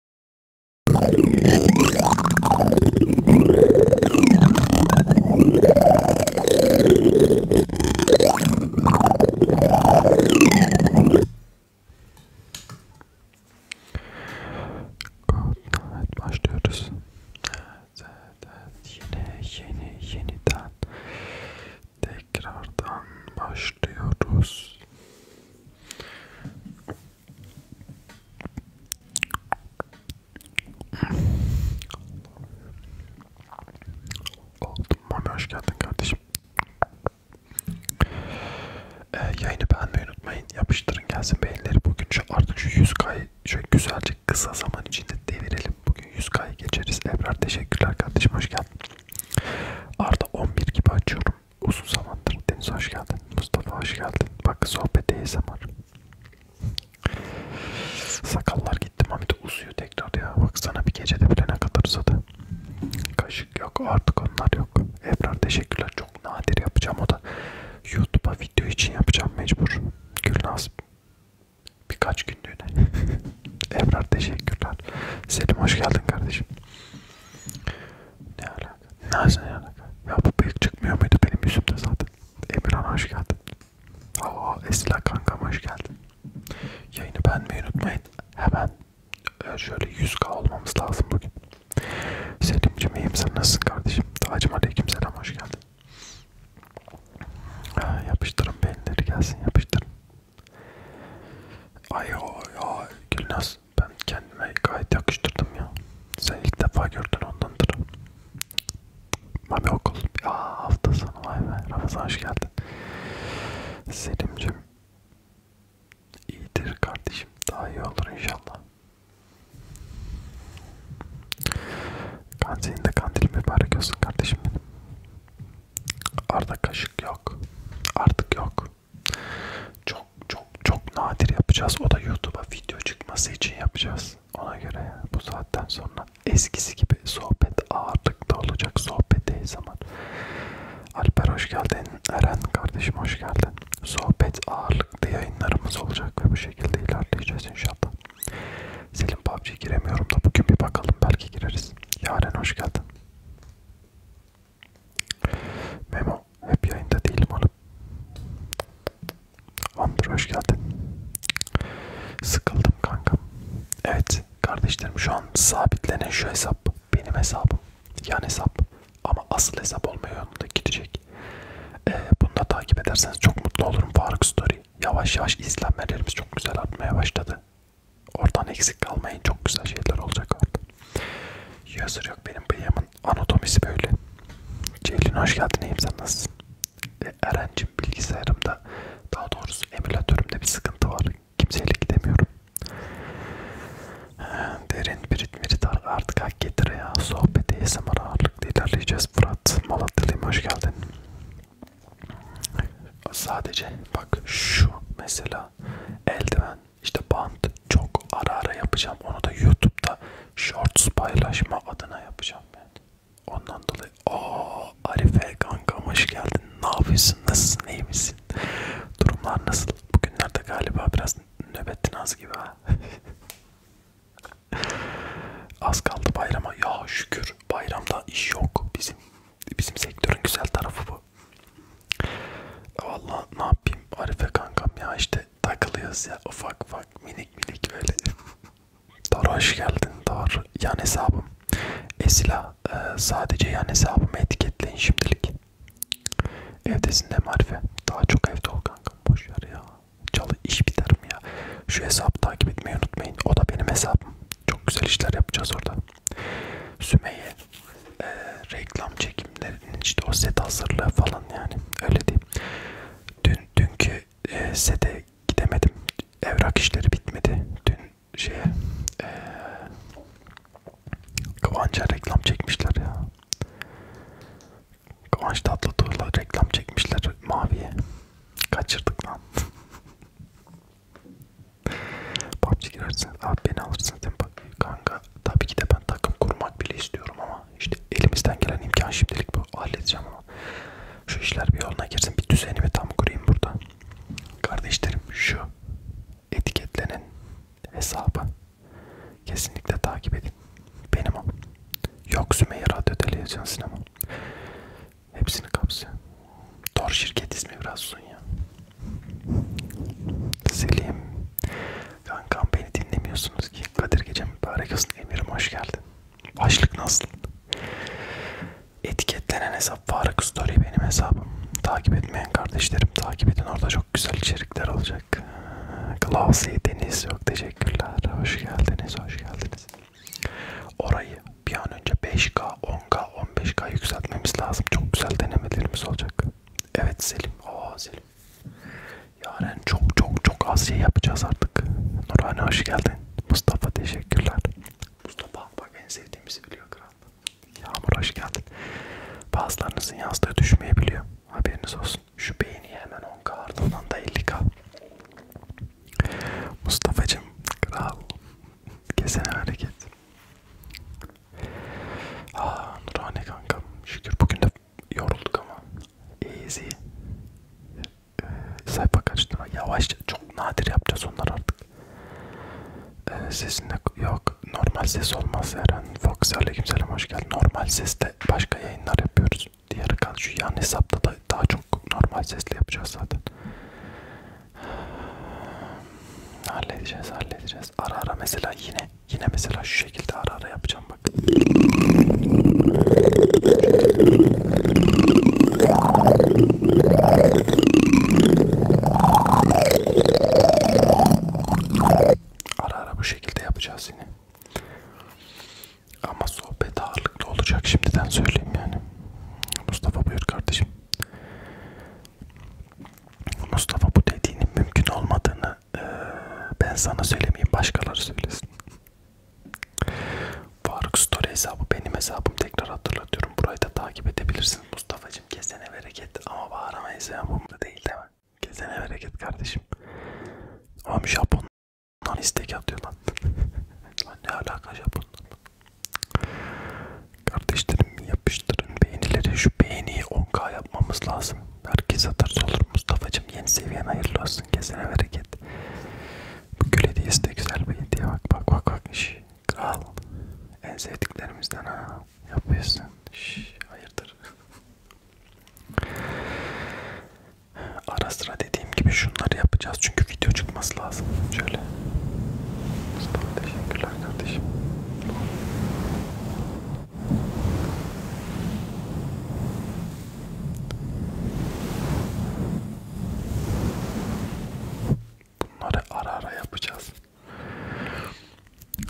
Evet başlıyoruz. Evet, evet, yine yeni yeniden tekrardan başlıyoruz. Oldum. Mami hoş geldin kardeşim. Ee, yayını beğenmeyi unutmayın. Yapıştırın gelsin beğenileri. Bugün şu, artık şu 100K'yı şöyle güzelce kısa zaman içinde devirelim. Bugün 100K'yı geçeriz. Ebrar teşekkürler kardeşim hoş geldin. Arda 11 gibi açıyorum. Uzun zamandır. Deniz hoş geldin. Mustafa hoş geldin. Bak sohbet ASMR. Sakallar gitti. Mami de uzuyor tekrar ya. Baksana bir gecede bile ne kadar uzadı. Kaşık yok. Artık onlar yok. Ebrar teşekkürler. Çok nadir yapacağım o da. YouTube'a video için yapacağım mecbur. Gülnaz birkaç günlüğüne. Ebrar teşekkürler. Selim hoş geldin kardeşim. Ne ala? Nazan Yanık. Ya bu büyük çıkmıyor muydu benim yüzümde zaten? Emirhan hoş geldin. Oo Esila kankam hoş geldin. Yayını beğenmeyi unutmayın. Hemen e, şöyle 100k olmamız lazım bugün. Selim'cim iyiyim sen nasılsın kardeşim? Tacım aleyküm selam hoş geldin. Ha, yapıştırın beyinleri gelsin yapıştırın. Ay o ya Gülnaz ben kendime gayet yakıştırdım ya. Sen ilk defa gördün ondandır. Mami okul. Aa hafta sonu vay be. Ramazan hoş geldin. Selim'cim. İyidir kardeşim. Daha iyi olur inşallah. Kansenin de kandil mübarek olsun kardeşim benim. Arda kaşık yok. Artık yok. Çok çok çok nadir yapacağız. O da YouTube'a video çıkması için yapacağız. Ona göre bu saatten sonra eskisi gibi sohbet ağırlıkta olacak. Sohbet değil zaman. Alper hoş geldin. Eren kardeşim hoş geldin. Sohbet ağırlıklı yayınlarımız olacak ve bu şekilde ilerleyeceğiz inşallah. Selim PUBG'ye giremiyorum da bugün bir bakalım belki gireriz. Yaren hoş geldin. Memo hep yayında değilim oğlum. Hamdur hoş geldin. Sıkıldım kankam. Evet kardeşlerim şu an sabitlenen şu hesap benim hesabım. Yan hesap ama asıl hesap olmaya yolunda gidecek. Ee, bunu da takip ederseniz çok mutlu olurum Faruk Story. Yavaş yavaş izlenmelerimiz çok güzel artmaya başladı. Oradan eksik kalmayın çok güzel şeyler olacak orada. Yazır yok benim bıyığım anatomisi böyle. Ceylin hoş geldin iyiyim sen nasılsın? E, Eren'cim bilgisayarımda daha doğrusu emülatörümde bir sıkıntı var. Kimseyle gidemiyorum. E, derin birit mirit artık hak getire ya. Sohbet ASMR ağırlıklı ilerleyeceğiz Fırat. Malatyalıyım hoş geldin. Sadece bak şu mesela eldiven işte band çok ara ara yapacağım. Onu da YouTube'da shorts paylaşma adına yapacağım yani. Ondan dolayı o Arife kankam hoş geldin. Ne yapıyorsun? Nasılsın? İyi misin? Durumlar nasıl? Bugünlerde galiba biraz nöbetin az gibi ha. Az kaldı bayrama. Ya şükür bayramda iş yok. Bizim bizim sektörün güzel tarafı bu. Vallahi ne yapayım Arife kankam ya işte takılıyoruz ya ufak ufak minik minik böyle. Dar hoş geldin Dar. Yan hesabım. Esila e, sadece yan hesabımı etiketleyin şimdilik. Evdesin de Marife. Daha çok evde ol kanka. Boş ver ya. Çalı iş biter mi ya? Şu hesabı takip etmeyi unutmayın. O da benim hesabım. Çok güzel işler yapacağız orada. Sümeyye e, reklam çekimlerinin işte o set hazırlığı falan yani öyle diyeyim. Dün dünkü e, sete gidemedim. Evrak işleri bitmedi. Dün şeye e, Kıvanç'a reklam çekmişler ya. Kıvanç Tatlıtuğ'la reklam çekmişler Mavi'ye. Kaçırdık lan. PUBG girersin. Abi beni alırsın. Sen bak kanka tabii ki de ben takım kurmak bile istiyorum ama ama işte elimizden gelen imkan şimdilik bu. Halledeceğim ama şu işler bir yoluna girsin. Bir düzenimi tam kurayım burada. Kardeşlerim şu etiketlenen hesabı kesinlikle takip edin. Benim o. Yok Sümeyye Radyo Televizyon Sinema. Hepsini kapsıyor. Tor şirket ismi biraz uzun ya. Selim Kankam beni dinlemiyorsunuz ki. Kadir Gece mübarek olsun Emir'im hoş geldin. Başlık nasıl? Etiketlenen hesap Faruk Story benim hesabım. Takip etmeyen kardeşlerim takip edin orada çok güzel içerikler olacak. Klausi Deniz yok teşekkürler. Hoş geldiniz hoş geldiniz. Orayı bir an önce 5K, 10K, 15K yükseltmemiz lazım. Çok güzel denemelerimiz olacak. Evet Selim. Oo Selim yani çok çok çok az şey yapacağız artık. Nurhane hoş geldin. Mustafa teşekkürler. Mustafa bak en sevdiğimizi biliyor kral. Yağmur hoş geldin. Bazılarınızın yazdığı düşmeyebiliyor. Haberiniz olsun. Şu beğeni hemen 10k ardından da 50k. Mustafa'cım kral. Kesene hareket. Aa Nurhane kankam. Şükür bugün de yorulduk ama. Easy. Ee, sayfa kaçtırma. Yavaşça. Çok nadir yapacağız onlar artık. Ee, sesinde yok. Normal ses olmaz Eren. Fox aleykümselam hoş geldin. Normal seste başka yayınlar yapıyoruz. Diğer kan şu yan hesapta da daha çok normal sesle yapacağız zaten. Halledeceğiz halledeceğiz. Ara ara mesela yine Yine mesela şu şekilde ara ara yapacağım bak. Ara ara bu şekilde yapacağız yine. Ama sohbet ağırlıklı olacak şimdiden söyleyeyim yani. Mustafa buyur kardeşim. Mustafa bu dediğinin mümkün olmadığını e, ben sana söylemeyeyim başkaları söylesin. Faruk Story hesabı benim hesabım tekrar hatırlatıyorum. Burayı da takip edebilirsin. Mustafa'cım kesene bereket ama bağıramayız ya bunda değil değil mi? Kesene bereket kardeşim. Oğlum Japon'dan istek atıyor lan. lan ne alaka Japon'dan? Kardeşlerim yapıştırın beğenileri. Şu beğeniyi 10k yapmamız lazım. Herkes atarsa olur Mustafa'cım yeni seviyen hayırlı olsun kesene bereket. Bu gül hediyesi de güzel bir hediye bak bak bak bak. Şş, kral en sevdiklerimizden ha yapıyorsun. Şş, hayırdır. Ara sıra dediğim gibi şunları yapacağız çünkü video çıkması lazım. Şöyle. Mustafa teşekkürler kardeşim. Bunları ara ara yapacağız.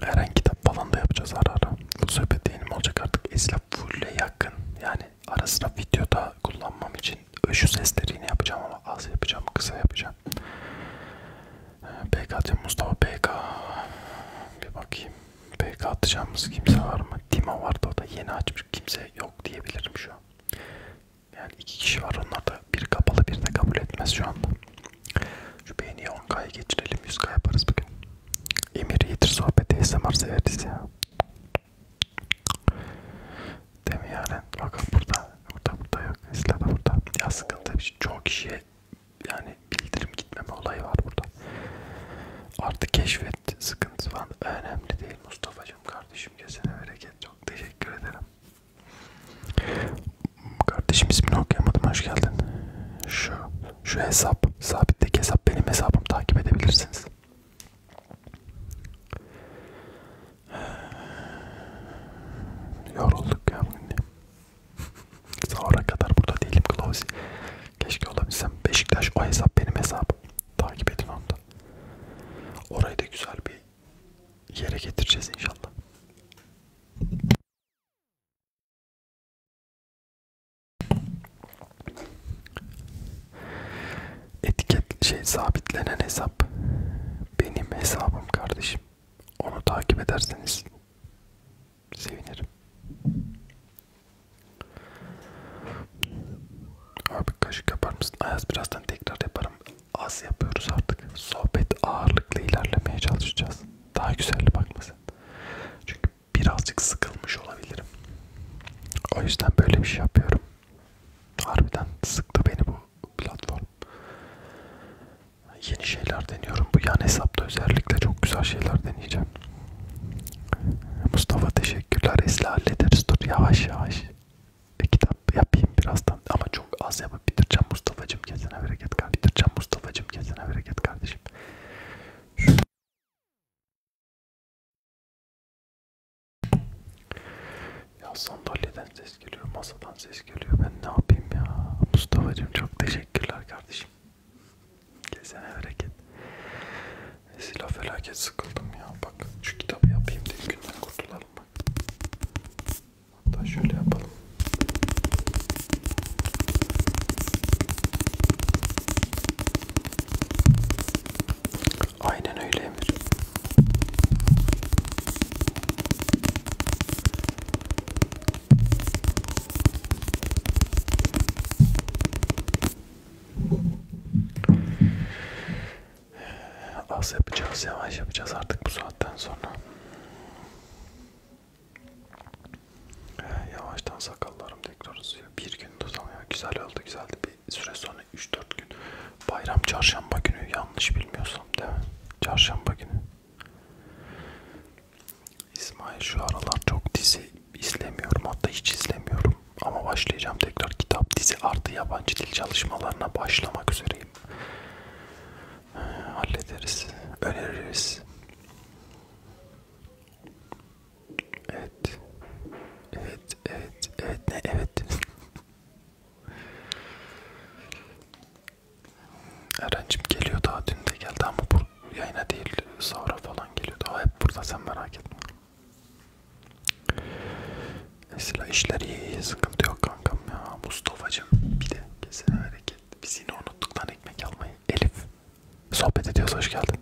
Her an kitap falan da yapacağız ara ara. Bu sohbet değilim olacak artık. Eslap fulle yakın. Yani ara sıra videoda kullanmam için şu sesleri yine yapacağım ama az yapacağım, kısa yapacağım. BKT ee, Mustafa BK bir bakayım. PK atacağımız kimse var mı? Dima vardı o da yeni açmış. Kimse yok diyebilirim şu an. Yani iki kişi var onlar da biri kapalı biri de kabul etmez şu anda. Şu beğeniye 10K'ya geçirelim 100K yaparız bugün. Emir iyidir sohbeti ASMR severiz ya. Değil mi yani? Bakın burada. Burada burada yok. Esla da burada. Ya sıkıntı bir şey. Çoğu kişiye yani bildirim gitmeme olayı var burada. Artı keşfet sıkıntı var. Önemli değil Mustafa'cığım kardeşim. Kesene bereket. Çok teşekkür ederim. Kardeşim ismini okuyamadım. Hoş geldin. Şu, şu hesap. Sabitteki hesap. Benim hesabım. Takip edebilirsiniz. Yorulduk ya bugün. Sahura kadar burada değilim Klausi. Keşke olabilsem. Beşiktaş o hesap benim hesabım. Takip edin onda. Orayı da güzel bir yere getireceğiz inşallah. Etiket şey sabitlenen hesap benim hesabım kardeşim. Onu takip ederseniz sevinirim. Abi kaşık yapar mısın? Ayaz birazdan tekrar yaparım. Az yapıyoruz artık. Sohbet ağırlıklı ilerlemeye çalışacağız. Daha güzel bakmasın. Çünkü birazcık sıkılmış olabilirim. O yüzden böyle bir şey yapıyorum. Harbiden sıktı beni bu platform. Yeni şeyler deniyorum. Bu yan hesapta özellikle çok güzel şeyler deneyeceğim. Mustafa teşekkürler. Esli hallederiz. Dur yavaş yavaş. E, kitap yapayım birazdan. Ama çok az yapıp bitireceğim Mustafa'cım. Kesene bereket kardeşim. Bitireceğim Mustafa'cım. Kesene bereket kardeşim. Şu... Ya sandalyeden ses geliyor. Masadan ses geliyor. Ben ne yapayım ya. Mustafa'cım çok teşekkürler kardeşim. Kesene bereket. Silah felaket sıkıldım ya. Bak şu kitabı yapayım diye günden kurtulalım bak. Hatta şöyle yapalım. Aynen öyle Emir. Az yapacağız, yavaş yapacağız artık bu saatten sonra. Ee, yavaştan sakallarım tekrar uzuyor. Bir gün tutamıyor. Güzel oldu, güzeldi. Bir süre sonra 3-4 gün. Bayram çarşamba günü yanlış bilmiyorsam değil mi? Çarşamba günü. İsmail şu aralar çok dizi izlemiyorum hatta hiç izlemiyorum ama başlayacağım tekrar kitap dizi artı yabancı dil çalışmalarına başlamak üzereyim ee, hallederiz öneririz evet evet evet evet ne evet Eren'cim geliyor daha dün de geldi ama yayına değil sahura falan geliyordu. O hep burada sen merak etme. Mesela işler iyi iyi sıkıntı yok kankam ya. Mustafa'cım bir de kesin hareket. Biz yine unuttuk lan ekmek almayı. Elif sohbet ediyoruz hoş geldin.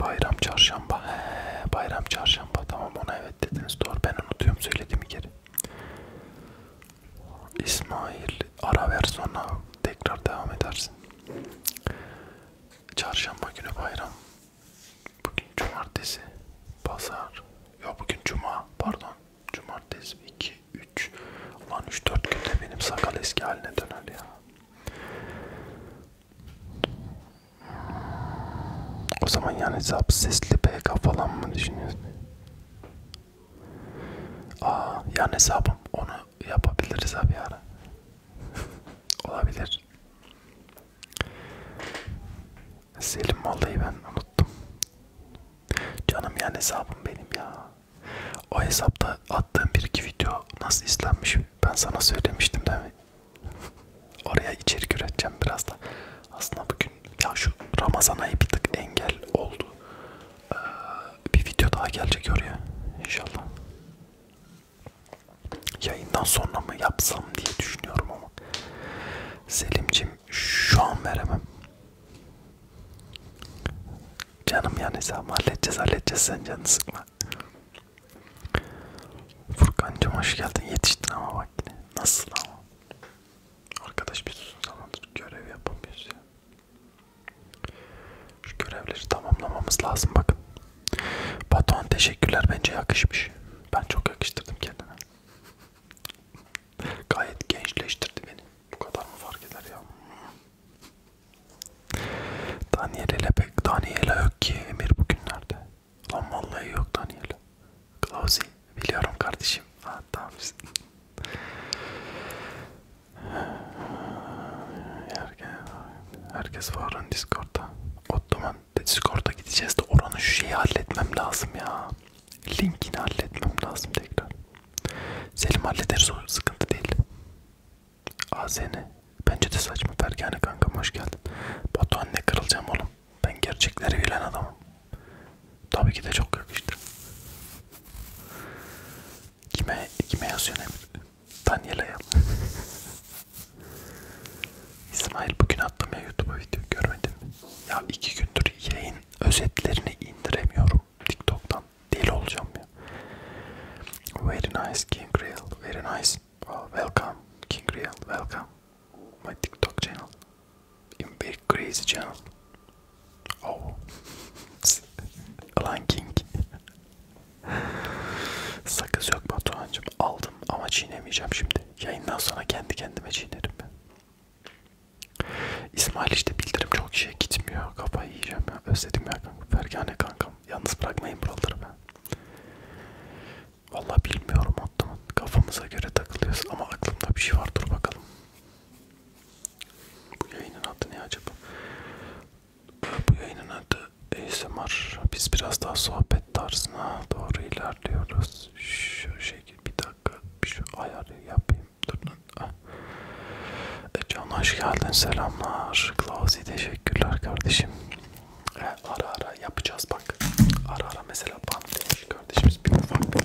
Bayram çarşamba. He, bayram çarşamba tamam ona evet dediniz doğru ben unutuyorum söylediğimi geri. İsmail ara ver sonra tekrar devam edersin. Çarşamba günü bayram. Bugün cumartesi. Pazar. Ya bugün cuma. Pardon. Cumartesi 2 3. Lan 3 4 günde benim sakal eski haline döner ya. O zaman yani hesap sesli PK falan mı düşünüyorsun? Aa yani hesabım onu yapabiliriz abi ara. Olabilir. Selim vallahi ben unuttum. Canım yani hesabım benim ya. O hesapta attığım bir iki video nasıl izlenmiş ben sana söylemiştim değil mi? Oraya içerik üreteceğim biraz da. Aslında bugün ya şu Ramazan ayı bir tık engel oldu. Ee, bir video daha gelecek oraya inşallah. Yayından sonra mı yapsam diye düşünüyorum ama Selimcim şu an veremem. Canım yani sen halledeceğiz halledeceğiz sen canını sıkma. Furkancım hoş geldin yetiştin ama bak yine nasıl ama. Arkadaş bir susun zamandır görev yapamıyoruz ya. Şu görevleri tamamlamamız lazım bakın. Batuhan teşekkürler bence yakışmış. Ben çok yakıştırdım kendime. Gayet gençleştirdi beni. Bu kadar mı fark eder ya? Daniel'e pek Daniel'e yok ki Emir bugünlerde. Lan vallahi yok Daniel'e. Klausi biliyorum kardeşim. Ha tamam. Herkes, herkes var oran Discord'da. Ottoman Discord'a gideceğiz de oranın şu şeyi halletmem lazım ya. Linkini halletmem lazım tekrar. Selim hallederiz o sıkıntı değil. AZN. Bence de saçma Fergane kankam hoş geldin. Batuhan ne kırılacağım oğlum. Ben gerçekleri bilen adamım. Tabii ki de çok yakıştı. Kime kime yazıyor Emir? Daniela'ya. İsmail bugün attım ya YouTube'a video görmedin mi? Ya iki gündür yayın özetlerini indiremiyorum TikTok'tan. Deli olacağım ya. Very nice King Real. Very nice. Well, welcome King Real. Welcome my TikTok channel. In very crazy channel. Oh. Ranking. Sakız yok Batuhan'cım. Aldım ama çiğnemeyeceğim şimdi. Yayından sonra kendi kendime çiğnerim ben. İsmail işte bildirim çok şey gitmiyor. Kafayı yiyeceğim ya. Özledim ya kankam. Fergane kankam. Yalnız bırakmayın buraları ben. Vallahi bilmiyorum Ottoman. Kafamıza göre takılıyoruz ama aklımda bir şey var. Dur bakalım. Bu yayının adı ne acaba? Bu yayının adı ASMR. Biz biraz daha sohbet tarzına doğru ilerliyoruz. Şu şekil bir dakika şu ayarı yapayım. Durun. Ah. E, Can hoş geldin selamlar. Klausi teşekkürler kardeşim. E, ara ara yapacağız bak. Ara ara mesela bant demiş kardeşimiz bir ufak bir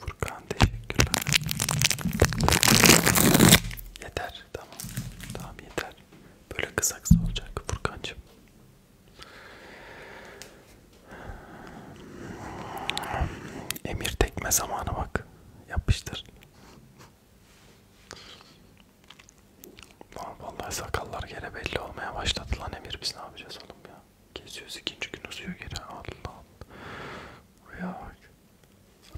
Furkan teşekkürler. Yeter tamam. Tamam yeter. Böyle kısa kısa olacak Furkancığım. Emir tekme zamanı bak. Yapıştır. Lan vallahi sakallar gene belli olmaya başladı lan Emir biz ne yapacağız oğlum ya? Geziyoruz ikinci gün uzuyor geri Allah. Rüya bak.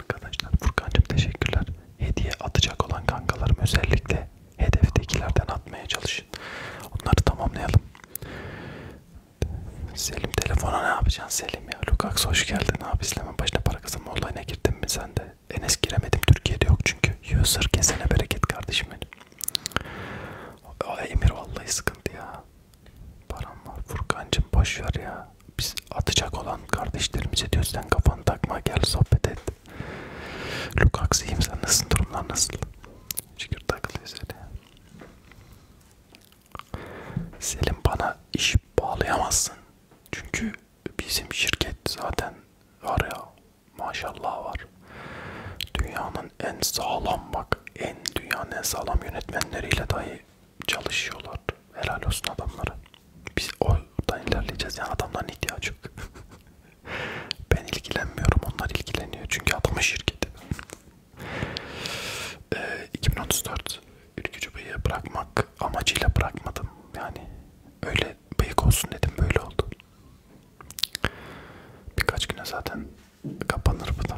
Arkadaşlar Furkan'cım teşekkürler. Hediye atacak olan kankalarım özellikle hedeftekilerden atmaya çalışın. Onları tamamlayalım. Selim telefona ne yapacaksın Selim ya? Lukax hoş geldin abi. İzleme başına para kazanma olayına girdin mi sen de? Enes giremedim Türkiye'de yok çünkü. User kesene bereket kardeşim benim. O Emir vallahi sıkıntı ya. Param var Furkancım boş ver ya. Biz atacak olan kardeşlerimize diyoruz sen kafanı takma gel sohbet et. Lukaks iyiyim sen nasılsın durumlar nasıl? Şükür takılıyoruz öyle. Selim bana iş bağlayamazsın. Çünkü bizim şirket zaten var ya maşallah var. Dünyanın en sağlam bak en dünyanın en sağlam yönetmenleriyle dahi çalışıyorlar. Helal olsun adamlara. Biz oradan ilerleyeceğiz yani adamların ihtiyacı yok. ben ilgilenmiyorum onlar ilgileniyor çünkü adamın şirketi. e, 2034 ülkücü bırakmak amacıyla bırakmadım yani öyle bıyık olsun dedim böyle oldu. Birkaç güne zaten kapanır bu da.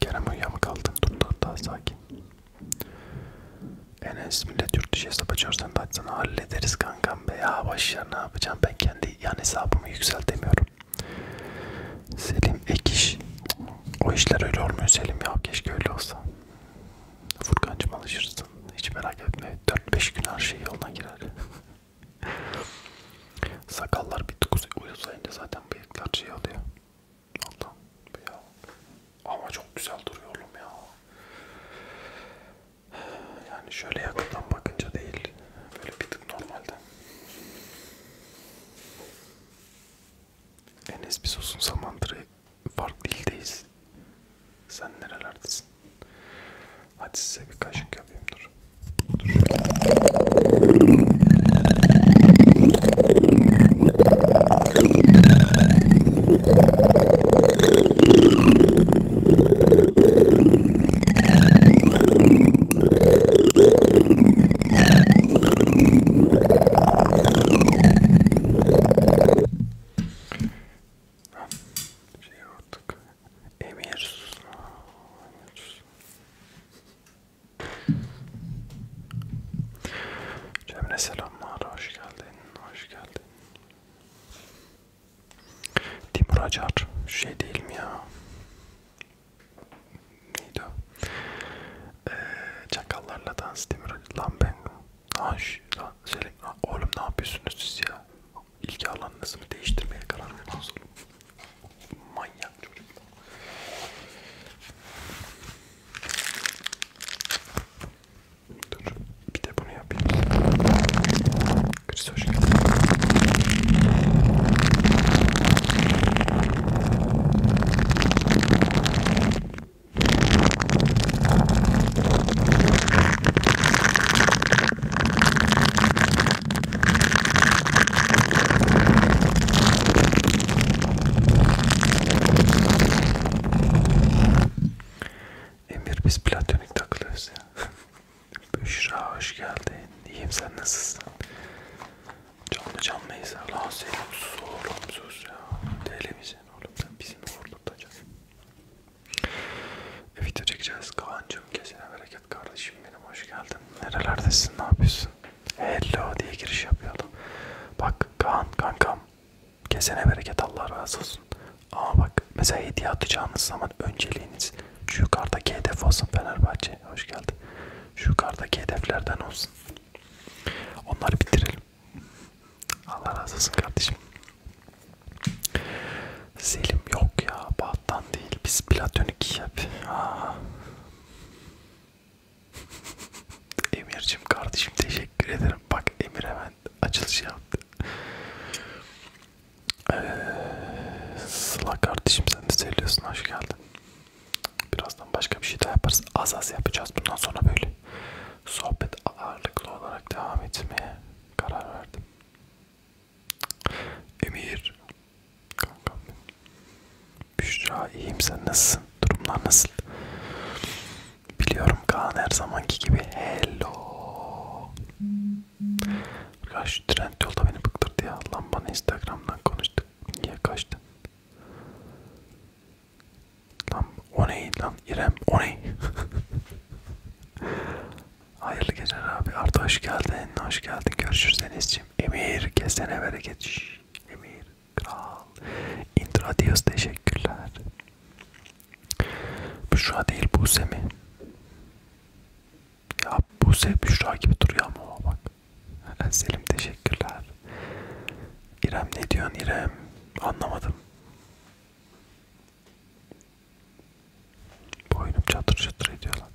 Kerem uyuyamı kaldı. Durdu daha sakin. Enes millet yurt dışı hesap açıyorsan da açsana hallederiz kankam be ya başlar ne yapacağım ben kendi yan hesabımı yükseltemiyorum. Selim ek iş. O işler öyle olmuyor Selim ya keşke öyle olsa. Furkancım alışırsın. Hiç merak etme. 4-5 gün her şey yoluna girer. Sakallar bir tukuz uyuzlayınca zaten bıyıklar şey oluyor. Allah ya. Ama çok güzel duruyor oğlum ya. Yani şöyle yakından bakınca değil. Böyle bir tık normalden. Enes bir uzun zamandır farklı ildeyiz. Sen nerelerdesin? Hadi size bir kaşık yapayım dur. Dur. Şey yaptık. Emir. Emir. Cemre selamlar, hoş geldin, hoş geldin. Timur Acar, şey değil mi ya? Neydi o? Ee, çakallarla dans Timur Acar. Lan ben Lan lan Selim lan oğlum ne yapıyorsunuz siz ya? İlgi alanınızı mı değiştirmeye karar verdiniz oğlum? Manyak çocuk. Dur bir de bunu yapayım. Chris hoş geldin. Emir biz platonik takılıyoruz ya. Büşra hoş geldin. İyiyim sen nasılsın? Canlı canlıyız ya. Lan senin sus oğlum sus ya. Televizyon oğlum sen bizim uğurlutacaksın. E, video çekeceğiz Kaan'cım kesene bereket kardeşim benim hoş geldin. Nerelerdesin ne yapıyorsun? Hello diye giriş yapıyordum. Bak Kaan kankam kesene bereket Allah razı olsun. Ama bak mesela hediye atacağınız zaman önceliğiniz şu yukarıdaki hedef olsun Fenerbahçe. Hoş geldin. Şu yukarıdaki hedeflerden olsun. Onları bitirelim. Allah razı olsun kardeşim. Selim yok ya, Bahattan değil. Biz platonik yap. Emir'cim kardeşim teşekkür ederim. Bak Emir hemen açılış yaptı. Ee, Sıla kardeşim sen de söylüyorsun hoş geldin. Birazdan başka bir şey daha yaparız. Az az yapacağız bundan sonra böyle. Sohbet ağırlıklı olarak devam etmeye karar verdim. Emir, kankam benim. Büşra iyiyim sen nasılsın? Durumlar nasıl? Biliyorum Kaan her zamanki gibi hello. Arkadaş şu trend yolda beni bıktırdı ya. Lan bana Instagram'dan konuştuk. Niye kaçtın? Lan o neydi lan? İrem o ne? Hayırlı geceler abi. Arda hoş geldin. Hoş geldin. Görüşürüz Enes'ciğim. Emir kesene bereket. Şş, Emir kral. Intradios teşekkürler. Büşra değil Buse mi? Ya Buse Büşra gibi duruyor ama bak. Selim teşekkürler. İrem ne diyorsun İrem? Anlamadım. Boynum çatır çatır ediyor lan.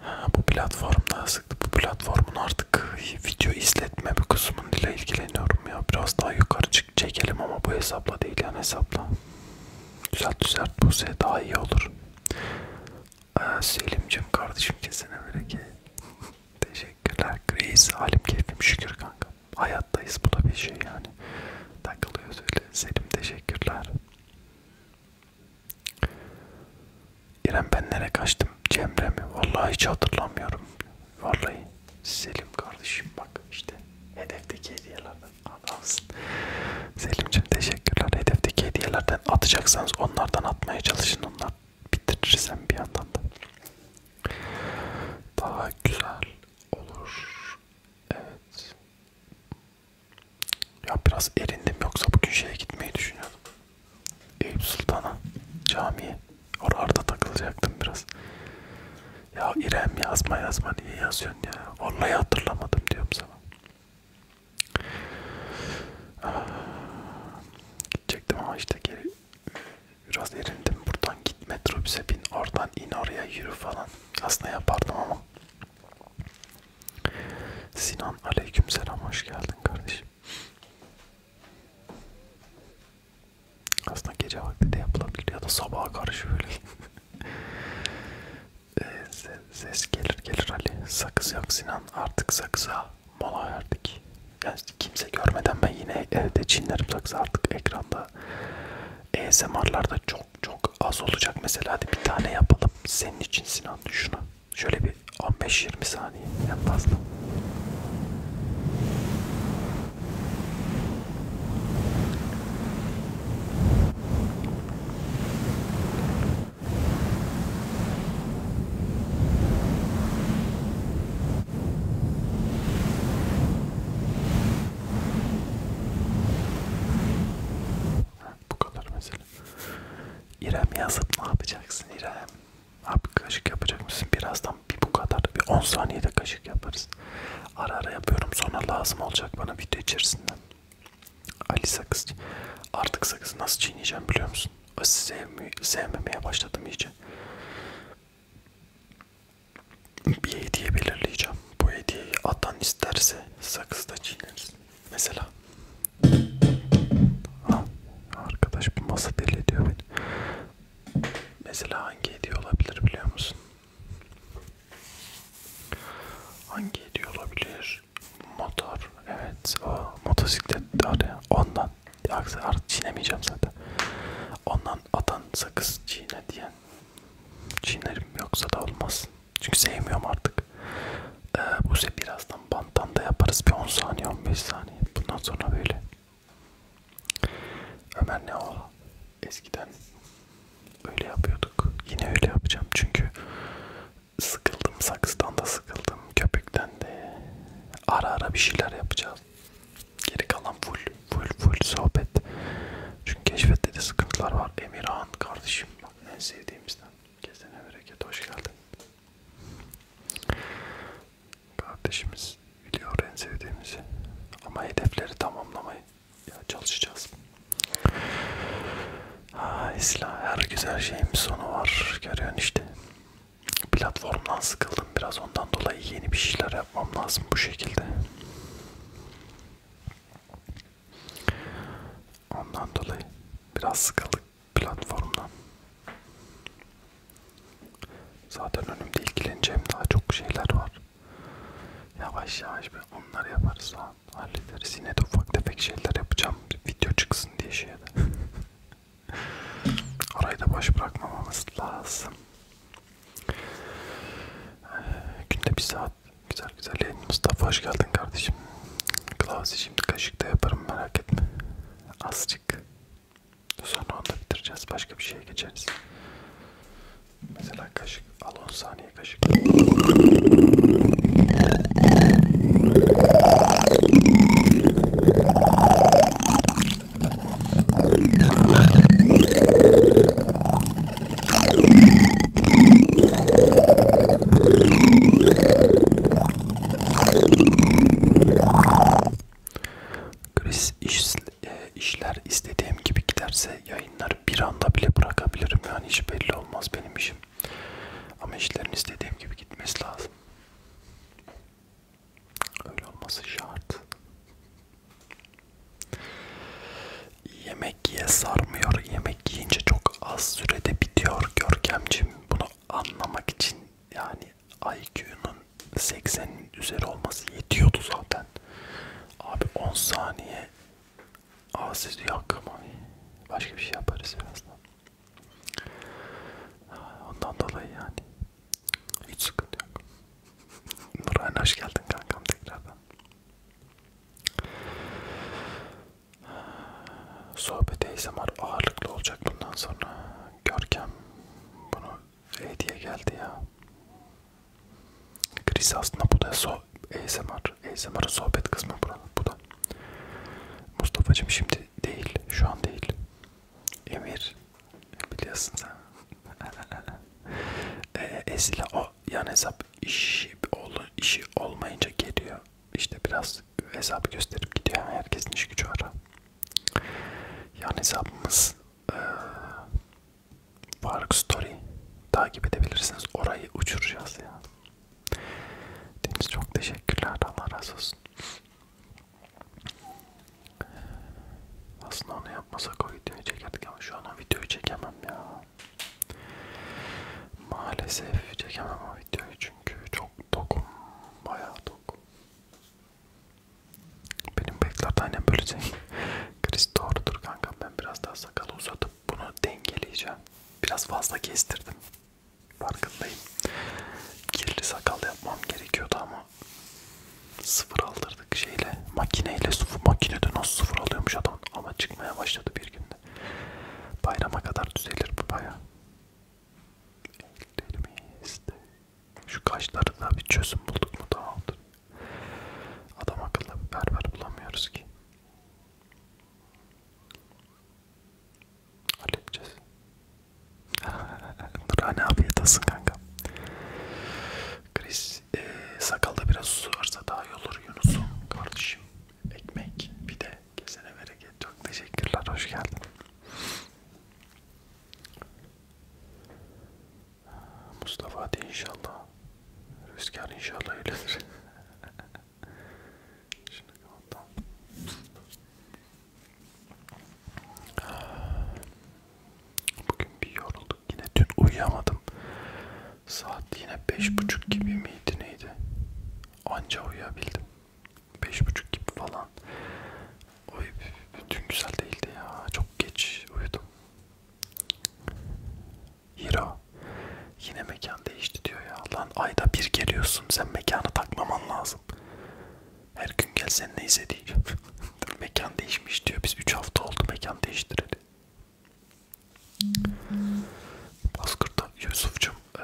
Ha, bu platformda sıktı. Bu platformun artık video izletme bir kısmıyla ilgileniyorum ya. Biraz daha yukarı çık çekelim ama bu hesapla değil yani hesapla. Düzelt düzelt bu se daha iyi olur. Ee, Selim'cim kardeşim kesene bereket. Teşekkürler. Grace halim keyfim şükür kanka hayattayız bu da bir şey yani takılıyoruz öyle Selim teşekkürler İrem ben nereye kaçtım Cemre mi vallahi hiç hatırlamıyorum vallahi Selim kardeşim bak işte hedefteki hediyelerden adamsın Selim'cim teşekkürler hedefteki hediyelerden atacaksanız onlardan atmaya çalışın onlar bitirirsen bir yandan da daha güzel olur. Evet. Ya biraz erindim yoksa bugün şeye gitmeyi düşünüyordum. Eyüp Sultan'a camiye. Orada takılacaktım biraz. Ya İrem yazma yazma niye yazıyorsun ya? Vallahi hatırlamadım diyorum sana. Aa, ah. gidecektim ama işte geri Biraz erindim buradan git metrobüse bin oradan in oraya yürü falan. Aslında yapardım ama. Sinan aleykümselam hoş geldin kardeşim. Aslında gece vakti de yapılabilir ya da sabaha karşı böyle. Ee, ses gelir gelir Ali. Sakız yok Sinan artık sakıza mola verdik. Yani kimse görmeden ben yine evde çinlerim sakızı artık ekranda ASMR'larda e çok çok az olacak mesela hadi bir tane yapalım senin için Sinan şunu şöyle bir 15-20 saniye en fazla bu kadar mesela. İrem yazıp ne yapacaksın İrem? Abi kaşık yapacak mısın? Birazdan bir bu kadar. Bir 10 saniyede kaşık yaparız. Ara ara yapıyorum. Sonra lazım olacak bana video içerisinden. Ali sakız. Artık sakızı nasıl çiğneyeceğim biliyor musun? Sevmi, sevmemeye başladım iyice bir hediye belirleyeceğim. Bu hediyeyi Adnan isterse sakız da çiğneriz. Mesela. Ha, arkadaş bu masa deli ediyor beni. Mesela hangi hediye olabilir biliyor musun? Hangi hediye olabilir? Motor. Evet. O motosiklet. Hadi ondan. Aksi artık çiğnemeyeceğim zaten. Ondan atan sakız çiğne diye Çiğnerim yoksa da olmaz. Çünkü sevmiyorum artık. Ee, bu sefer birazdan banttan da yaparız. Bir 10 saniye 15 saniye. Bundan sonra böyle. Ömer ne o? Eskiden öyle yapıyorduk. Yine öyle yapacağım çünkü sıkıldım. Saksıdan da sıkıldım. Köpükten de. Ara ara bir şeyler yapacağız. Geri kalan full full full sohbet. Çünkü keşfette de sıkıntılar var. Emirhan kardeşim bak en sevdiğimizden. Kesene bereket hoş geldin. Kardeşimiz biliyor en sevdiğimizi. Ama hedefleri tamamlamayı ya çalışacağız. Ha, İsla her güzel şeyin bir sonu var. Görüyorsun işte. Platformdan sıkıldım biraz ondan dolayı yeni bir şeyler yapmam lazım bu şekilde. Ondan dolayı biraz sıkıldık platformdan. Zaten önümde ilgileneceğim daha çok şeyler var. Yavaş yavaş bir onları yaparız falan. Hallederiz. Yine de ufak tefek şeyler yapacağım. Video çıksın diye şeye de. Orayı da boş bırakmamamız lazım. Günde bir saat güzel güzel yayın. Mustafa hoş geldin kardeşim. Klavsi şimdi kaşıkta yaparım merak etme. Azıcık. Sonra onu da bitireceğiz. Başka bir şeye geçeriz. Mesela kaşık. Al 10 saniye kaşık. Chris iş, e, işler istediğim gibi giderse yayınlar bir anda bile bırakabilirim yani hiç belli olmaz benim işim. Ama işlerin istediğim gibi gitmesi lazım. Öyle olması şart. Yemek ye sarmıyor. Yemek yiyince çok az sürede bitiyor Görkemcim. Bunu anlamak için yani IQ'nun 80'in üzeri olması yetiyordu zaten. Abi 10 saniye ağzı yok ama başka bir şey yaparız birazdan. Ondan dolayı yani hiç sıkıntı yok. Nurhan hoş geldin kankam tekrardan. Sohbet ASMR ağırlıklı olacak bundan sonra. Görkem bunu hediye geldi ya. Kriz aslında bu da so ASMR. ASMR'ın sohbet kısmı buranın. Bu da. Mustafa'cığım şimdi değil. Şu an değil. Emir biliyorsun sen. e, esile o yan hesap işi, ol, işi olmayınca geliyor. İşte biraz hesabı gösterip gidiyor. Yani herkesin iş gücü var. Yan hesabımız e, Faruk Story takip edebilirsiniz. Orayı uçuracağız ya. Deniz çok teşekkürler. Allah razı olsun. Aslında onu yapmasak o videoyu çekerdik ama şu an o videoyu çekemem ya. Maalesef çekemem o videoyu çünkü çok tokum. Bayağı tokum. Benim bıyıklarda aynen böyle şey. Chris doğrudur kankam. Ben biraz daha sakalı uzatıp bunu dengeleyeceğim. Biraz fazla kestirdim. Farkındayım. Kirli sakal yapmam gerekiyordu ama sıfır aldırdık şeyle makineyle sıfır makinede nasıl sıfır alıyormuş adam ama çıkmaya başladı bir günde bayrama kadar düzelir bu baya ellerimizde şu kaşları da bir çözüm bulduk mu tamamdır adam akıllı bir berber bulamıyoruz ki halledeceğiz Nurhane abiye tasın kanka Chris e, sakalda biraz su varsa daha iyi olur Yunus'um kardeşim. Ekmek bir de kesene bereket. Çok teşekkürler. Hoş geldin. Mustafa hadi inşallah. Rüzgar inşallah öyledir. Şimdi kapatalım. Bugün bir yorulduk. Yine dün uyuyamadım. Saat yine beş buçuk gibi miydi neydi? Anca uyuyabildim. Beş buçuk gibi falan. Oy, dün güzel değildi ya. Çok geç uyudum. Hiro yine mekan değişti diyor ya. Lan ayda bir geliyorsun. Sen mekanı takmaman lazım. Her gün gelsen neyse diyeceğim. mekan değişmiş diyor. Biz 3 hafta oldu mekan değiştireli. Bozkurt'ta Yusuf'cum ee,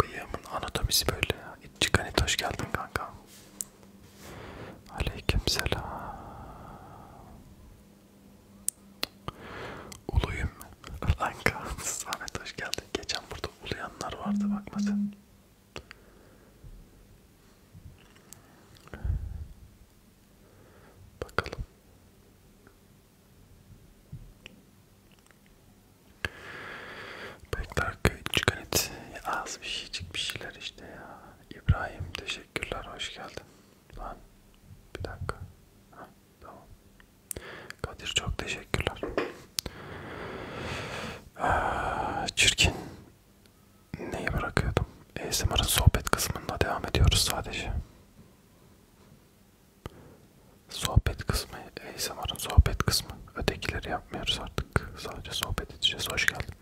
bıyığımın anatomisi böyle ya. İççik hani hoş geldin kanka. Aleyküm selam. Uluyum. Kanka Samet hoş geldin. Geçen burada uluyanlar vardı bakma sen. Bakalım. Bekler köy çıkan et. Az bir şeycik bir şeyler işte ya. İbrahim teşekkürler hoş geldin. Lan bir dakika. Ha, tamam. Kadir çok teşekkürler. Aa, ah, çirkin neyi bırakıyordum? ASMR'ın sohbet kısmında devam ediyoruz sadece. Sohbet kısmı, ASMR'ın sohbet kısmı. Ötekileri yapmıyoruz artık. Sadece sohbet edeceğiz. Hoş geldin.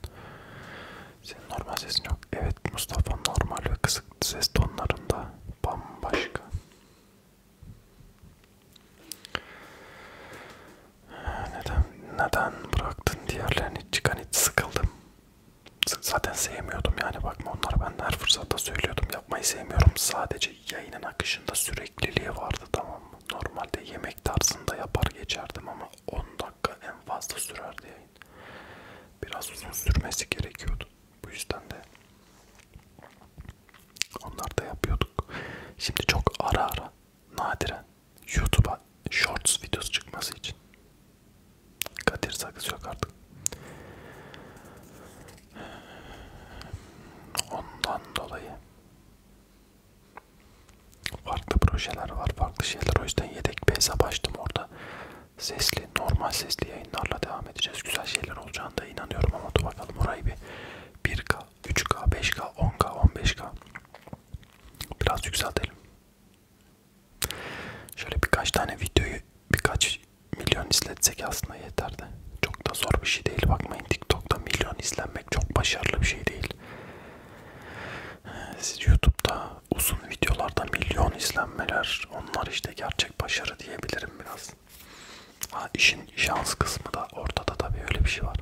Senin normal sesin yok. Evet Mustafa normal ve kısık ses tonlarında bambaşka. Neden neden bıraktın diğerlerini çıkan hiç sıkıldım zaten sevmiyordum yani bakma onlara ben her fırsatta söylüyordum yapmayı sevmiyorum sadece yayının akışında sürekliliği vardı tamam mı normalde yemek tarzında yapar geçerdim ama 10 dakika en fazla sürerdi yayın biraz uzun sürmesi gerekiyordu bu yüzden de onlar da yapıyorduk şimdi çok ara ara nadiren YouTube'a shorts videosu çıkması için. Kadir sakız yok artık. Ondan dolayı farklı projeler var, farklı şeyler. O yüzden yedek bir hesap açtım orada. Sesli, normal sesli yayınlarla devam edeceğiz. Güzel şeyler olacağına da inanıyorum ama dur bakalım orayı bir 1K, 3K, 5K, 10K, 15K biraz yükseltelim. Şöyle birkaç tane videoyu birkaç milyon izletsek aslında yeterdi. Çok da zor bir şey değil. Bakmayın TikTok'ta milyon izlenmek çok başarılı bir şey değil. Ee, siz YouTube'da uzun videolarda milyon izlenmeler onlar işte gerçek başarı diyebilirim biraz. Ha, işin şans kısmı da ortada tabii öyle bir şey var.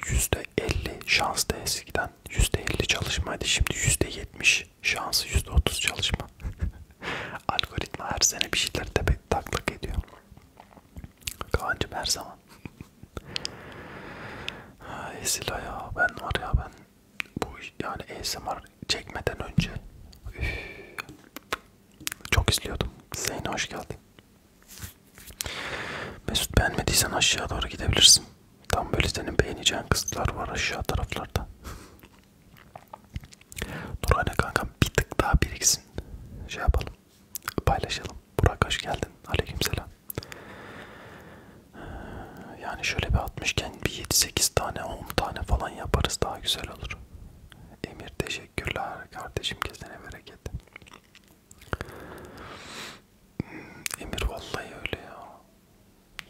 %50 şans da eskiden %50 çalışma hadi şimdi %70 şansı %30 çalışma. Algoritma her sene bir şeyler tepet taklak ediyor. Kancım her zaman. Esila ya ben var ya ben bu yani ASMR çekmeden önce üf, çok izliyordum. Zeyno hoş geldin. Mesut beğenmediysen aşağı doğru gidebilirsin. Tam böyle senin beğeneceğin kızlar var aşağı taraflarda. Nurhane kankam bir tık daha biriksin. Şey yapalım. Paylaşalım. Burak hoş geldin. Aleykümselam. Ee, yani şöyle bir atmışken bir 7-8 tane 10 tane falan yaparız daha güzel olur. Emir teşekkürler kardeşim kesene bereket. Emir vallahi öyle ya.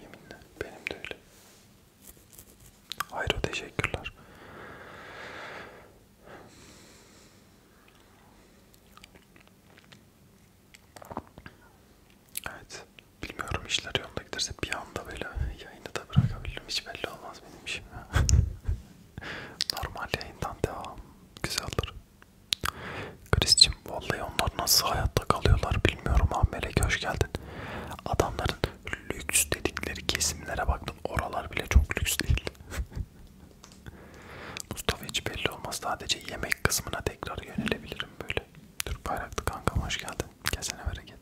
Yeminle benim de öyle. Hayro teşekkürler. Evet. Bilmiyorum işler yolunda giderse bir anda böyle yayını da bırakabilirim. Hiç belli olmaz benim işim ya. Normal yayından devam. Güzel olur. Chris'cim vallahi onlar nasıl hayatta kalıyorlar bilmiyorum abi Melek hoş geldin. Adamların lüks dedikleri kesimlere baktım oralar bile çok lüks değil. Mustafa hiç belli olmaz sadece yemek kısmına tekrar yönelebilirim böyle. Türk bayraklı kankam hoş geldin. Kesene bereket.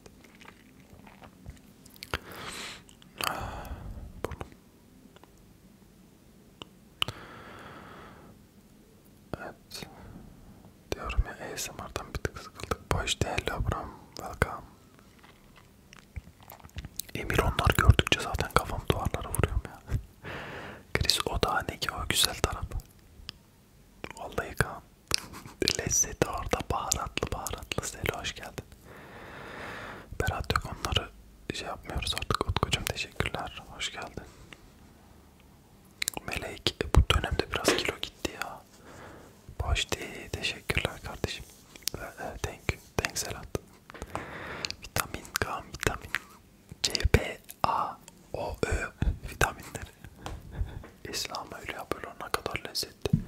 Ah, burnum. Evet. Diyorum ya ASMR'dan bir tık sıkıldık. Boş değil Abram. Welcome. Emir onlar gördükçe zaten kafam duvarlara vuruyorum ya. Chris o da ne ki o güzel taraf. Vallahi kan. Lezzeti orada baharatlı baharatlı. Selo hoş geldin. Berat yok onları şey yapmıyoruz artık. Utkucum teşekkürler. Hoş geldin. Melek e, bu dönemde biraz kilo gitti ya. Boş değil. Teşekkürler kardeşim. E, thank you. Thanks a lot. Vitamin K, vitamin C, B, A, O, Ö vitaminleri. İslam öyle yapıyor. Ne kadar lezzetli.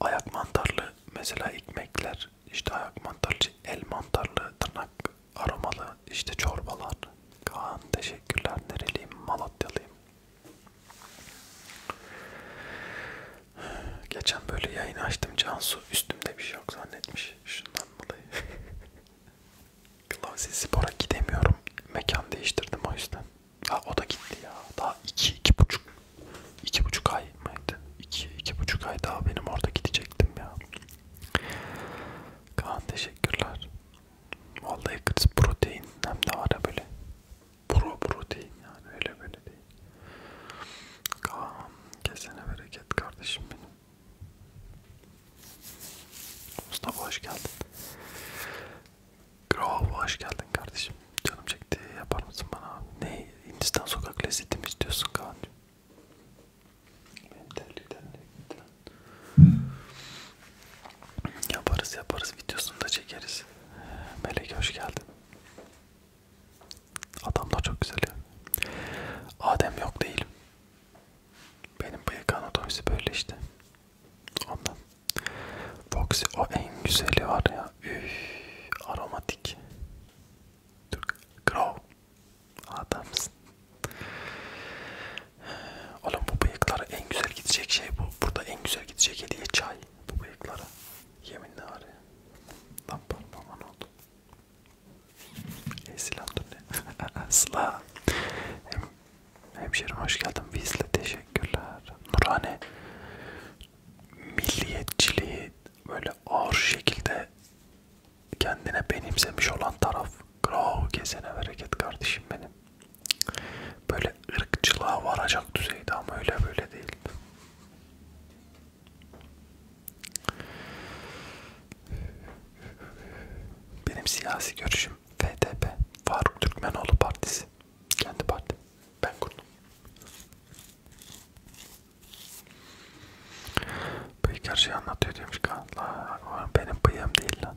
Ayak mantarlı mesela ekmekler. işte ayak mantarlı, el mantarlı, tırnak aromalı işte çorbalar. Kaan teşekkürler. Nereliyim? Malatyalıyım. Geçen böyle yayın açtım. Cansu üstümde bir şey yok zannetmiş. Şundan dolayı. Klasik spora gidemiyorum. Mekan değiştirdim o yüzden. Ha o da gitti ya. Daha iki, iki buçuk. iki buçuk ay mıydı? İki, iki buçuk ay daha benim orada gidecektim ya. Kaan teşekkürler. Vallahi kız protein hem de var ya böyle pro protein yani öyle böyle değil. Kaan kesene bereket kardeşim benim. Mustafa hoş geldin. Grov hoş geldin kardeşim. Canım çekti yapar mısın bana abi? Ne Hindistan sokak lezzeti mi istiyorsun Kaan'cığım? Benim terlikten de Yaparız yaparız videosunu da çekeriz. Melek hoş geldin. Adam da çok güzel ya. Adem yok değilim. Benim bıyık anatomisi böyle işte. Ondan. Foxy o en güzeli var ya. Üf, aromatik. Grow. Adamsın. Oğlum bu bıyıklara en güzel gidecek şey bu. Burada en güzel gidecek hediye çay. Bu bıyıklara. Yeminle var ya. Lan parmağıma ne oldu? Ey silah dur ne? Sıla. Hem, hemşerim hoş geldin. Bizle teşekkürler. Nurhane milliyetçiliği böyle ağır şekilde kendine benimsemiş olan taraf. Grau kesene bereket kardeşim benim böyle ırkçılığa varacak düzeyde ama öyle böyle değil. Benim siyasi görüşüm FDP, Faruk Türkmenoğlu Partisi. Kendi partim. Ben kurdum. Bıyık her şeyi anlatıyor demiş. Benim bıyığım değil lan.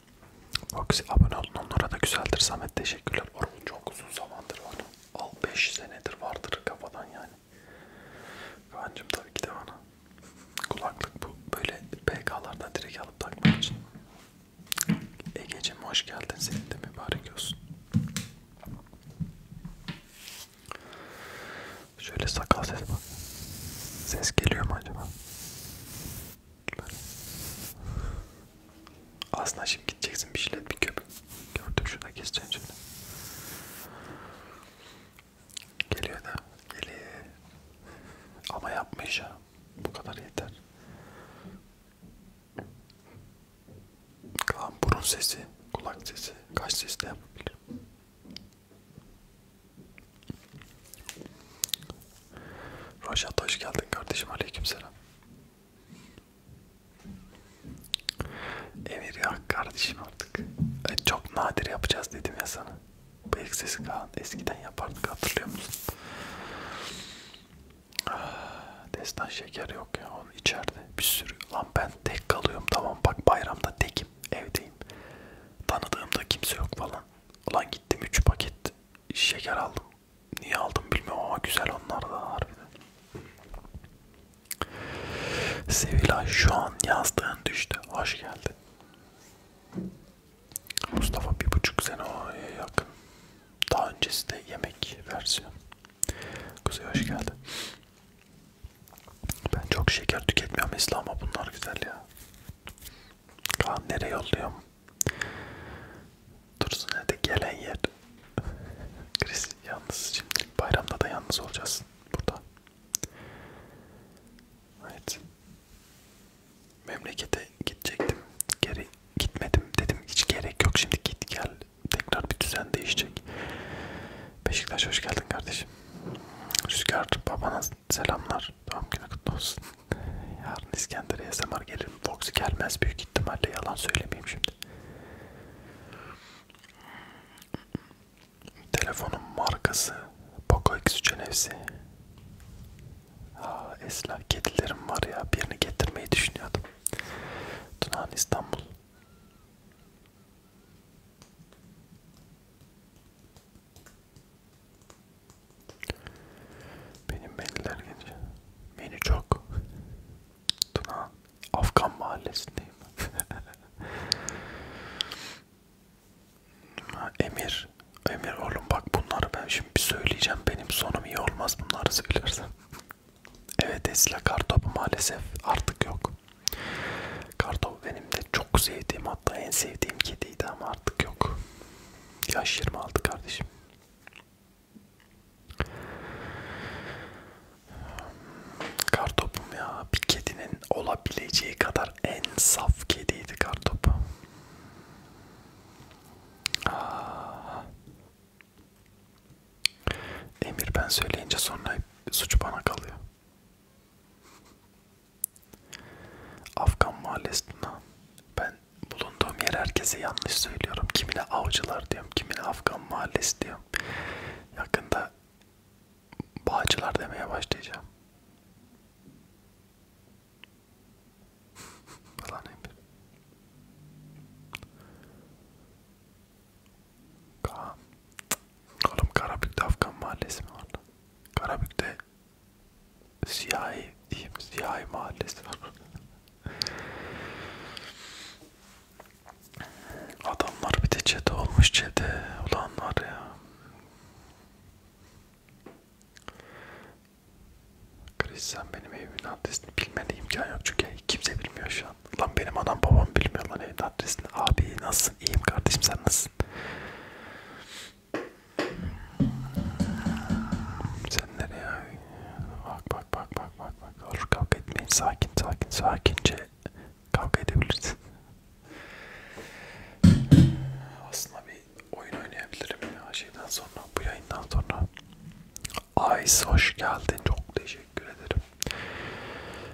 Foxy abone olun onlara da güzeldir Samet teşekkürler. Orhun çok uzun zamandır var. Al 5 senedir vardır kafadan yani. Kancım tabii ki de bana. Kulaklık bu böyle PK'lardan direkt alıp takmak için. Ege'cim hoş geldin senin de mübarek olsun. Şöyle sakal sesi bak. Ses geliyor mu acaba? Aslında şimdi gideceksin bir şeyler bir köpük. Gördüm şuna keseceksin şimdi. Geliyor da geliyor. Ama yapmış ya. Bu kadar yeter. Kaan burun sesi, kulak sesi, kaş sesi de yapabilirim. Raşat hoş geldin kardeşim. Aleykümselam. Emir ya kardeşim artık. E, çok nadir yapacağız dedim ya sana. Bıyık sesi Kaan eskiden yapardık hatırlıyor musun? Ah, destan şeker yok ya onun içeride bir sürü. Lan ben tek kalıyorum tamam bak bayramda tekim evdeyim. Tanıdığımda kimse yok falan. Ulan gittim 3 paket şeker aldım. Niye aldım bilmiyorum ama güzel onlar da harbiden. Sevilay şu an yazdığın düştü. Hoş geldin. Mustafa bir buçuk sene oraya yakın. Daha öncesi de yemek versiyon. Kuzey hoş geldin. Ben çok şeker tüketmiyorum İslam ama bunlar güzel ya. Kaan nereye yolluyorum? Dursun hadi gelen yer. Chris yalnız şimdi bayramda da yalnız olacağız burada. Evet. Memlekete gidecektim. Geri gitmedim dedim. Hiç gerek yok şimdi git gel. Tekrar bir düzen değişecek. Beşiktaş hoş geldin kardeşim. Rüzgar babana selamlar. Doğum günü kutlu olsun. Yarın İskender'e SMR gelir mi? Fox gelmez büyük ihtimalle yalan söylemeyeyim şimdi. Telefonun markası Poco X3 NFC. Aa, Esla kedilerim var ya birini getirmeyi düşünüyordum. Tunağın İstanbul. Benim mailler geliyor. Beni çok. Tuna Afgan mahallesindeyim. Emir, Emir oğlum bak bunları ben şimdi bir söyleyeceğim. Benim sonum iyi olmaz bunları söylersem. Evet Esla kartopu maalesef artık yok. Kartop benim de çok sevdiğim hatta en sevdiğim kediydi ama artık yok. Yaş 26 kardeşim. Kartopum ya bir kedinin olabileceği kadar en saf kediydi kartopu. Aa. Emir ben söyleyince sonra suç bana kalıyor. Afgan mahallesinden ben bulunduğum yer herkese yanlış söylüyorum. Kimine avcılar diyorum, kimine Afgan mahallesi diyorum. Yakında bağcılar demeye başlayacağım. Falan Emir. Kaan. Oğlum Karabük'te Afgan mahallesi mi var lan? Karabük'te siyahi diyeyim siyahi mahallesi adamlar bir de çete olmuş çete ulanlar ya Chris sen benim evimin adresini bilmene imkan yok çünkü kimse bilmiyor şu an lan benim adam babam bilmiyor lan evin adresini abi nasılsın iyiyim kardeşim sen nasılsın sen nereye? Bak bak bak bak bak bak. Olur kavga etmeyin. Sakin sakin sakince kavga edebilirsin. Aslında bir oyun oynayabilirim ya şeyden sonra bu yayından sonra. Ice hoş geldin. Çok teşekkür ederim.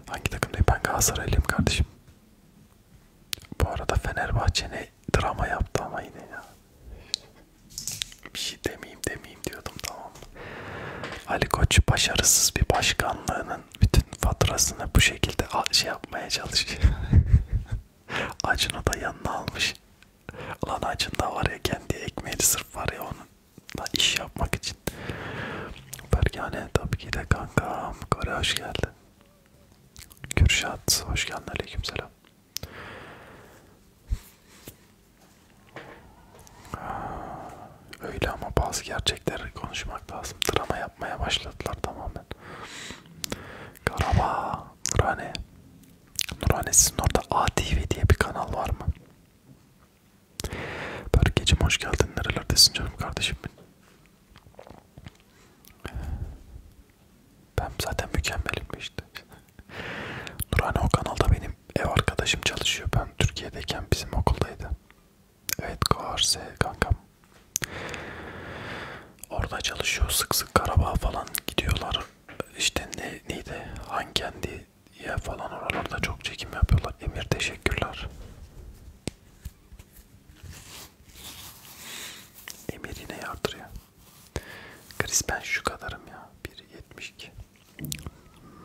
Hangi takımdayım? Ben Galatasaraylıyım kardeşim. Bu arada Fenerbahçe ne drama yaptı ama yine ya bir şey demeyeyim demeyeyim diyordum tamam Ali Koç başarısız bir başkanlığının bütün faturasını bu şekilde şey yapmaya çalışıyor. Acun'u da yanına almış. Lan Acun da var ya kendi ekmeği sırf var ya onun da iş yapmak için. Bergane tabii ki de kankam. Kore hoş geldin. Kürşat hoş geldin. Aleykümselam. Öyle ama bazı gerçekleri konuşmak lazım. Drama yapmaya başladılar tamamen. Karabağ, Nurhane. Nurhane sizin orada ATV diye bir kanal var mı? Berkeciğim hoş geldin. Nerelerdesin canım kardeşim benim? Ben zaten mükemmelim işte. Nurhane o kanalda benim ev arkadaşım çalışıyor. Ben Türkiye'deyken bizim okuldaydı. Evet Koarse kankam. Orada çalışıyor sık sık Karabağ falan gidiyorlar. İşte ne, neydi Hankendi'ye falan oralarda çok çekim yapıyorlar. Emir teşekkürler. Emir yine yardırıyor. Chris ben şu kadarım ya. 1.72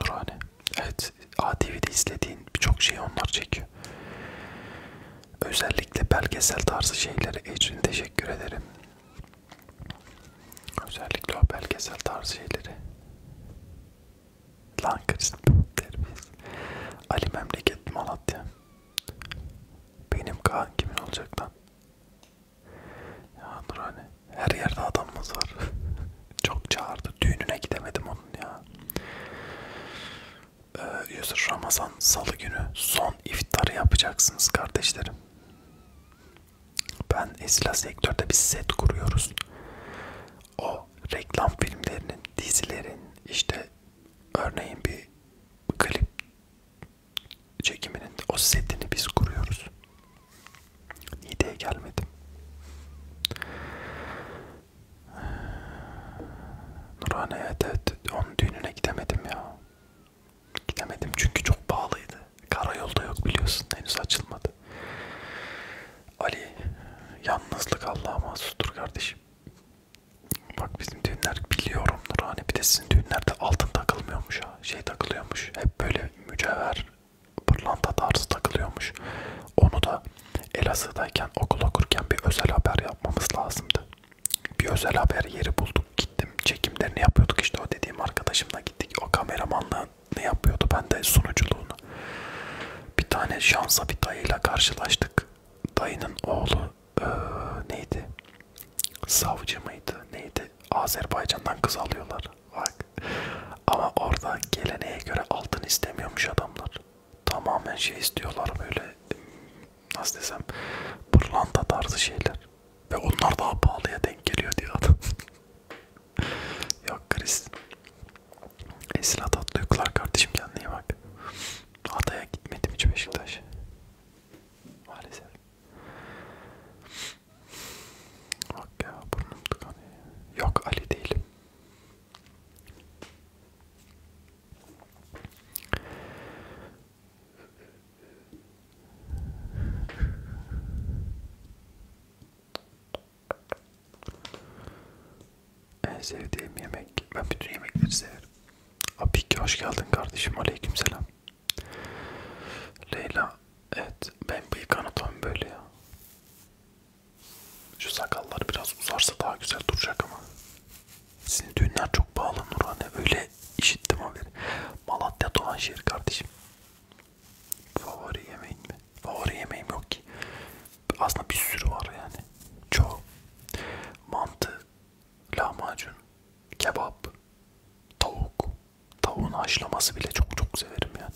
Nurhane. Evet ATV'de izlediğin birçok şeyi onlar çekiyor. Özellikle belgesel tarzı şeyleri Ecrin teşekkür ederim. Özellikle o belgesel tarzı şeyleri. Lan Chris terbiyesiz. Ali memleket Malatya. Benim Kaan kimin olacak lan? Ya dur hani her yerde adamımız var. Çok çağırdı. Düğününe gidemedim onun ya. Ee, Yusuf Ramazan salı günü son iftarı yapacaksınız kardeşlerim. Ben Esila Sektör'de bir set kuruyoruz. O reklam filmlerinin, dizilerin işte örneğin bir klip çekiminin o setini biz kuruyoruz. Niğde'ye gelmedim. Nurhane evet, evet onun düğününe gidemedim ya. Gidemedim çünkü çok pahalıydı. Karayolda yok biliyorsun henüz açılmadı. Ali yalnızlık Allah'a mahsustur kardeşim. Bak bizim düğünler biliyorum Nurhane bir de sizin düğünlerde altın takılmıyormuş ya. Şey takılıyormuş. Hep böyle mücevher pırlanta tarzı takılıyormuş. Onu da Elazığ'dayken okul okurken bir özel haber yapmamız lazımdı. Bir özel haber yeri bulduk. Gittim çekimlerini yapıyorduk işte o dediğim arkadaşımla gittik. O kameramanlığını yapıyordu. Ben de sunuculuğunu. Bir tane şansa bir dayıyla karşılaştık. Dayının oğlu ee, neydi? savcı mıydı neydi Azerbaycan'dan kız alıyorlar bak ama orada geleneğe göre altın istemiyormuş adamlar tamamen şey istiyorlar böyle nasıl desem pırlanta tarzı şeyler ve onlar daha pahalıya denk geliyor diyor adam yok Chris Esra Tatlıklar kardeşim kendine iyi bak Hatay'a gitmedim hiç Beşiktaş maalesef Bak ya burnum tıkanıyor. Yok Ali değilim. En sevdiğim yemek. Ben bütün yemekleri severim. Apik hoş geldin kardeşim. Aleykümselam. Leyla evet ben bıyık anatomi böyle ya. Şu sakallar biraz uzarsa daha güzel duracak ama. Sizin düğünler çok pahalı Nurhan'e öyle işittim haberi. Malatya doğan şehir kardeşim. Favori yemeğin mi? Favori yemeğim yok ki. Aslında bir sürü var yani. Çoğu. Mantı, lahmacun, kebap, tavuk, Tavuğun haşlaması bile çok çok severim yani.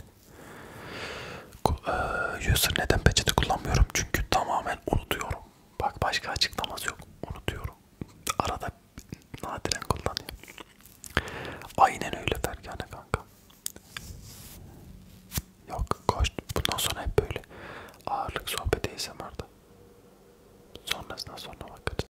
Ee, user neden peçete kullanmıyorum? Çünkü tamamen unutuyorum. Bak başka açıklaması yok. Unutuyorum. Arada nadiren kullanıyorum. Aynen öyle Fergane kanka. Yok koş. Bundan sonra hep böyle ağırlık sohbeti ASMR'da. Sonrasına sonra bakarız.